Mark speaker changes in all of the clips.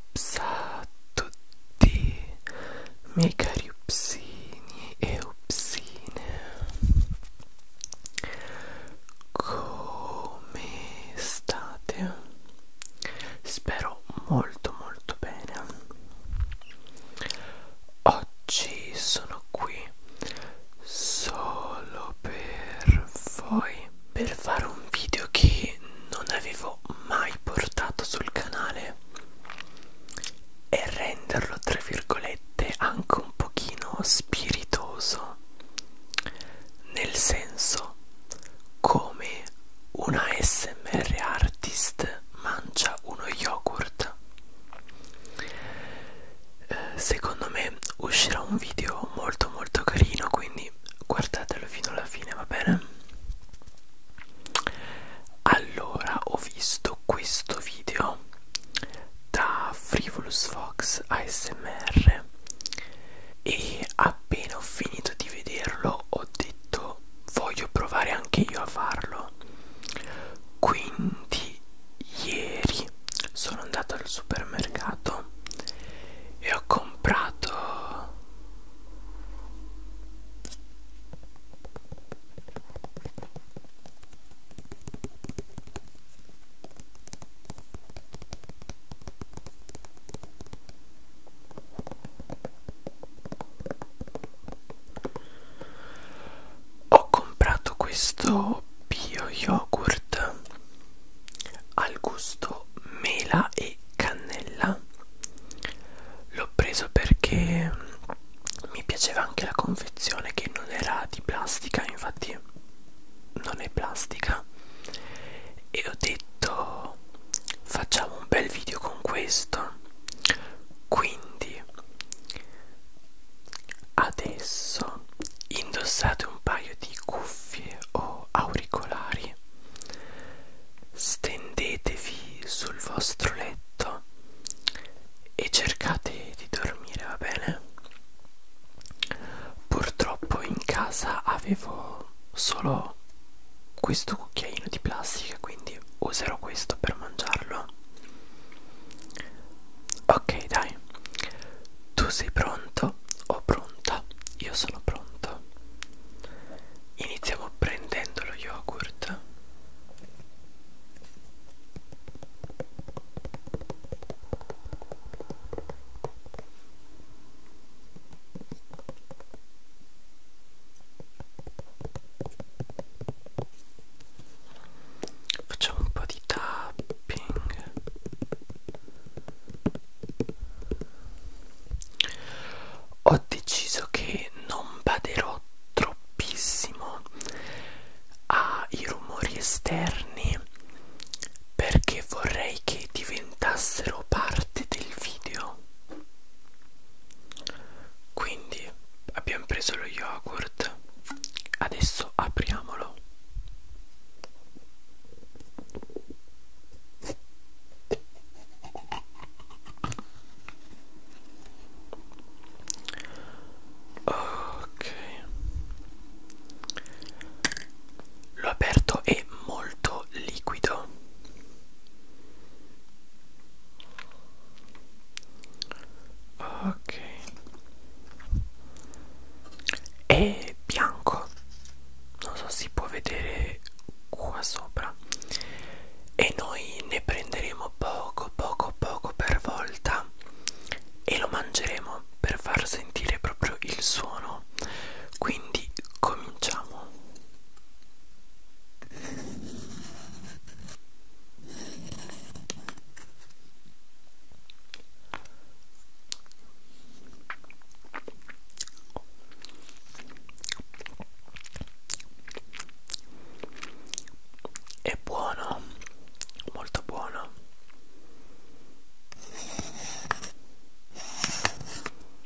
Speaker 1: Ups a tutti miei cari upsini e upsine come state? spero molto molto bene oggi sono qui solo per voi per fare un video che non avevo mai portato sul canale e renderlo tra virgolette anche un pochino spiritoso nel senso come una SMR artist mangia uno yogurt. Eh, secondo me uscirà un video molto molto carino, quindi guardatelo fino alla fine, va bene? Allora, ho visto questo video da Frivolous Fox ASMR e appena ho finito di vederlo ho detto voglio provare anche io a farlo quindi ieri sono andato al supermercato e ho comprato ho comprato questo bio yogurt al gusto mela e cannella. L'ho preso perché mi piaceva anche la confezione che non era di plastica, infatti non è plastica. E ho detto video facciamo un bel video con questo quindi adesso indossate un paio di cuffie o auricolari stendetevi sul vostro letto e cercate di dormire va bene purtroppo in casa avevo solo questo cucchiaino di plastica quindi userò questo per mangiarlo ok dai tu sei pronto o pronta io sono pronto iniziamo prendendo lo yogurt Facciamo un po' di tapping. Ho deciso che non baderò troppissimo ai rumori esterni perché vorrei che diventassero parte del video quindi abbiamo preso lo yogurt, adesso apriamolo. Ok, l'ho aperto, è molto liquido ok è bianco non so si può vedere qua sopra e noi ne prenderemo poco poco poco per volta e lo mangeremo per far sentire proprio il suono quindi cominciamo è buono, molto buono.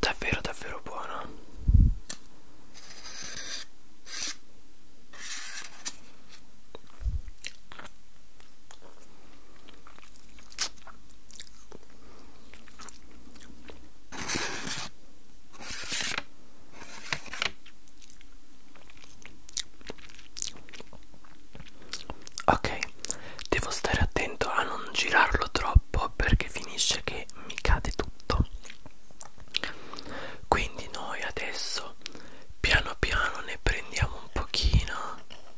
Speaker 1: davvero davvero buona Ok, devo stare attento a non girarlo troppo perché finisce che mi cade tutto. Quindi noi adesso piano piano ne prendiamo un pochino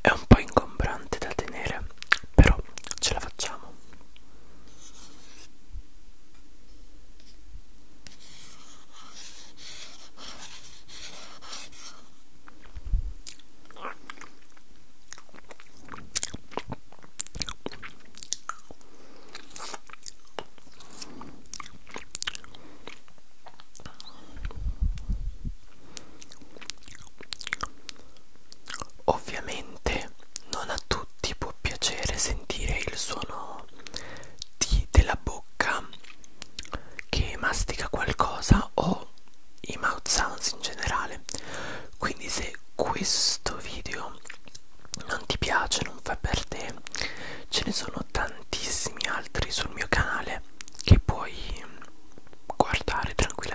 Speaker 1: È un po' ingombrante da tenere, però ce la facciamo. Ovviamente non a tutti può piacere sentire il suono di, della bocca che mastica qualcosa o i mouth sounds in generale. Quindi se questo video non ti piace, non fa per te, ce ne sono tantissimi altri sul mio canale che puoi guardare tranquillamente.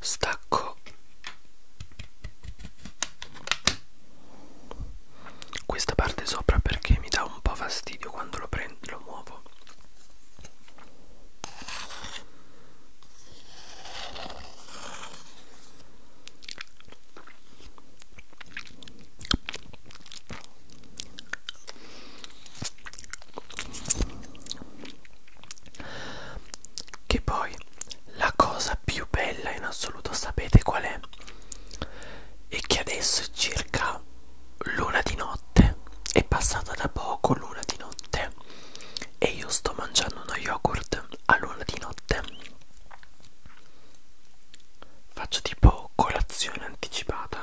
Speaker 1: Stacco questa parte sopra perché mi dà un po' fastidio quando lo prendo, lo muovo. Che poi la cosa più bella in assoluto sapete qual è? È che adesso è circa l'una di notte, è passata da poco l'una di notte e io sto mangiando uno yogurt all'una di notte Faccio tipo colazione anticipata.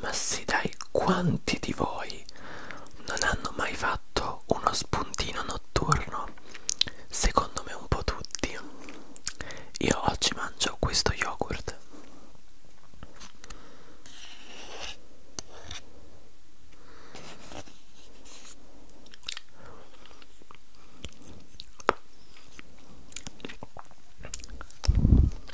Speaker 1: Ma sì dai, quanti di voi non hanno mai fatto uno spuntino notturno? Secondo me un po' tutti. Io oggi mangio questo yogurt.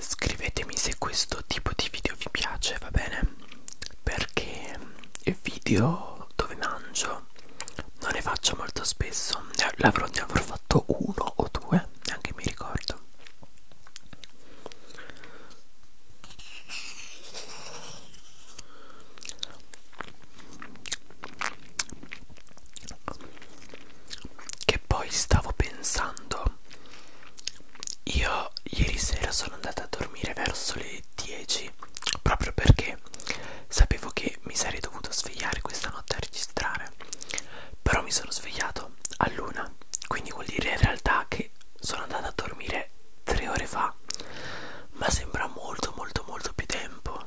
Speaker 1: Scrivetemi se questo tipo di video vi piace, va bene? Perché il video dove mangio non ne faccio molto spesso, ne eh, avrò, ne avrò fatto uno o due neanche mi ricordo che poi stavo pensando io ieri sera sono andata a dormire verso le 10 proprio perché sapevo che mi sarei dovuto svegliare questa notte a registrare dormire però mi sono svegliato all'una quindi vuol dire in realtà che sono andato a dormire tre ore fa ma sembra molto molto molto più tempo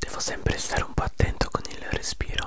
Speaker 1: Devo sempre stare un po' attento con il respiro.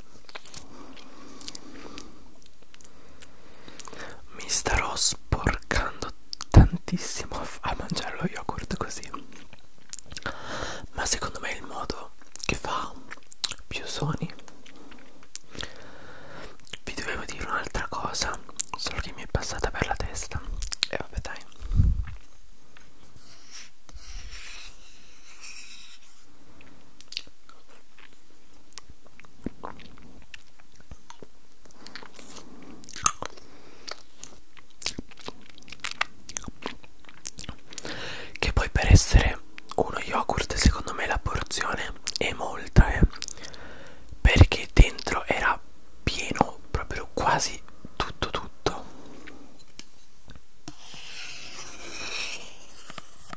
Speaker 1: Mi starò sporcando tantissimo a mangiare lo yogurt così. Ma secondo me è il modo che fa più suoni. Vi dovevo dire un'altra cosa, solo che mi è passata per la testa. E eh, vabbè dai. Che poi per essere uno yogurt secondo me la porzione è molta eh? Perché dentro era pieno proprio quasi tutto tutto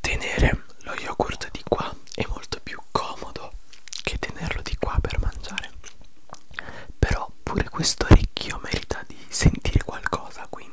Speaker 1: Tenere lo yogurt di qua è molto più comodo che tenerlo di qua per mangiare. Però pure questo orecchio merita di sentire qualcosa, quindi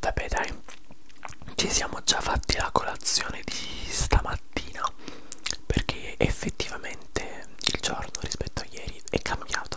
Speaker 1: Vabbè dai, ci siamo già fatti la colazione di stamattina perché effettivamente il giorno rispetto a ieri è cambiato.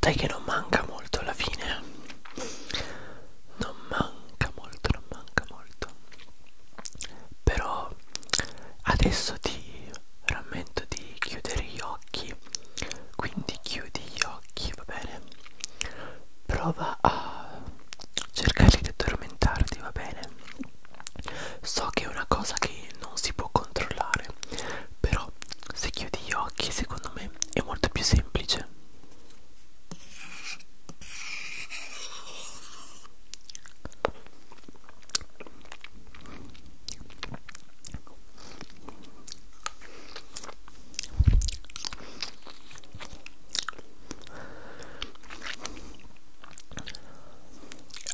Speaker 1: Dai che non manca molto alla fine. Non manca molto, non manca molto. Però adesso ti rammento di chiudere gli occhi. Quindi chiudi gli occhi, va bene? prova a cercare di addormentarti, va bene? So che è una cosa che non si può controllare, però se chiudi gli occhi secondo me è molto più semplice.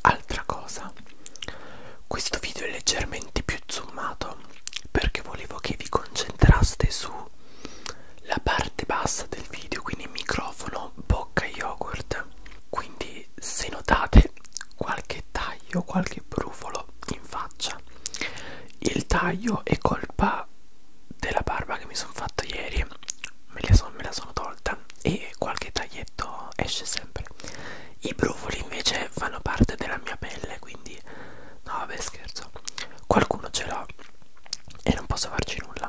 Speaker 1: Altra cosa, questo video è leggermente più zoomato perché volevo che vi concentraste sulla parte bassa del video, quindi microfono, bocca yogurt. Quindi se notate qualche taglio, qualche brufolo in faccia, il taglio è colpa della barba che mi sono fatto ieri me, le son, me la sono tolta e qualche taglietto esce sempre i brufoli invece fanno parte della mia pelle quindi no vabbè scherzo qualcuno ce l'ha e non posso farci nulla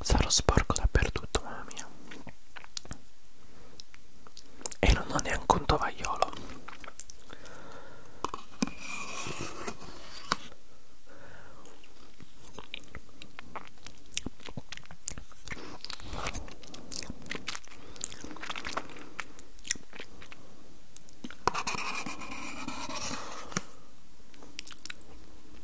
Speaker 1: Sarò sporco dappertutto, mamma mia. E non ho neanche un tovagliolo.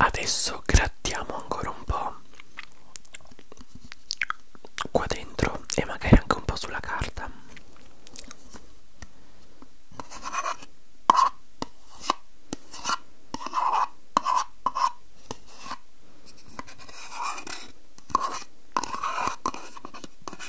Speaker 1: Adesso grattiamo ancora un po' qua dentro e magari anche un po' sulla carta.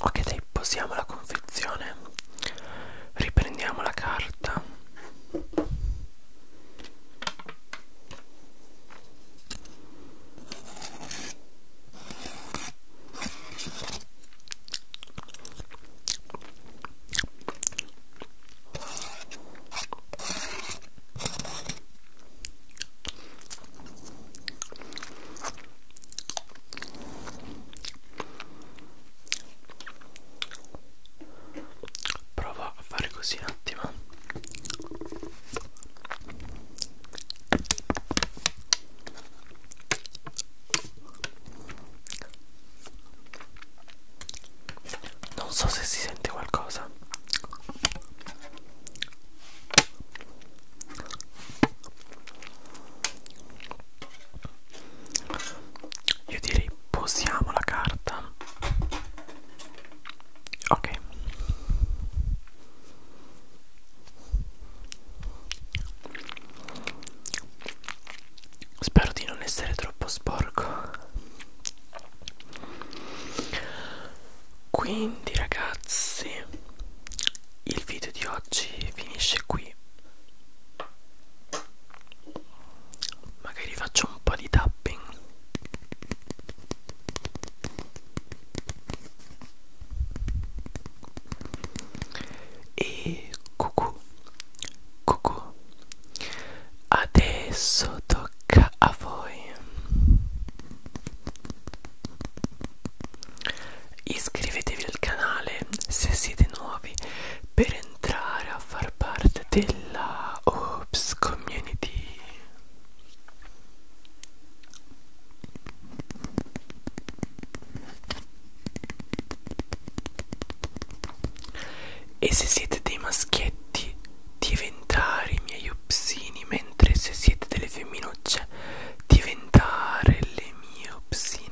Speaker 1: Ok dai, posiamo la confezione, riprendiamo la carta. Provo a fare così un attimo. Non so se si sente qualcosa. Io direi posiamo la carta. Ok. Spero di non essere troppo sporco. Quindi ragazzi, il video di oggi finisce qui. Magari faccio un po' di tapping. E cucù, cucù. Adesso tocca a voi. Iscrivetevi al canale se siete nuovi per entrare a far parte della Ops Community. E se siete dei maschietti, diventare miei upsini, mentre se siete delle femminucce, cioè, diventare le mie upsine.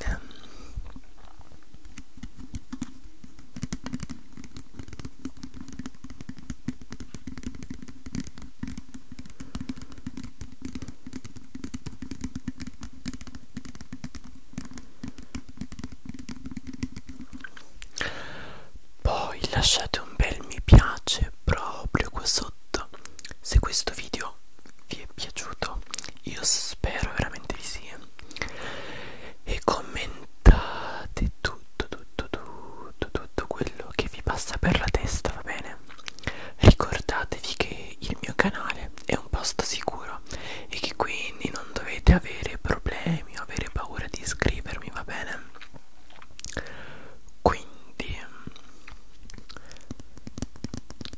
Speaker 1: Poi lasciate un bel mi piace proprio qua sotto se questo video vi è piaciuto, io spero veramente di sì. Eh. E commentate tutto, tutto, tutto, tutto quello che vi passa per la testa, va bene? Ricordatevi che il mio canale è un posto sicuro e che quindi non dovete avere problemi o avere paura di iscrivermi, va bene? Quindi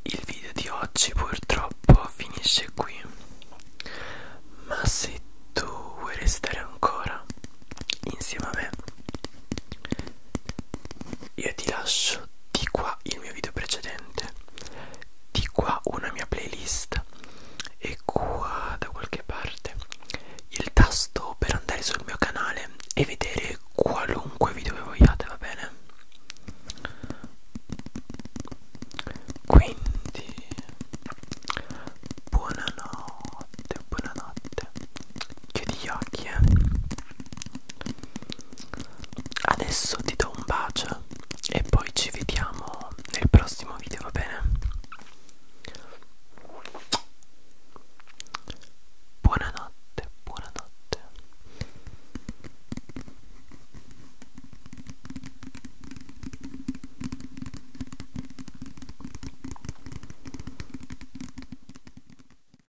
Speaker 1: il video di oggi purtroppo finisce qui. Ma se tu vuoi restare ancora insieme a me io ti lascio di qua il mio video precedente di qua una mia playlist e qua da qualche parte il tasto per andare sul mio canale e vedere qualunque video che vogliate va bene quindi buonanotte buonanotte chiudi gli occhi eh Adesso ti do un bacio e poi ci vediamo nel prossimo video, va bene? Buonanotte, buonanotte.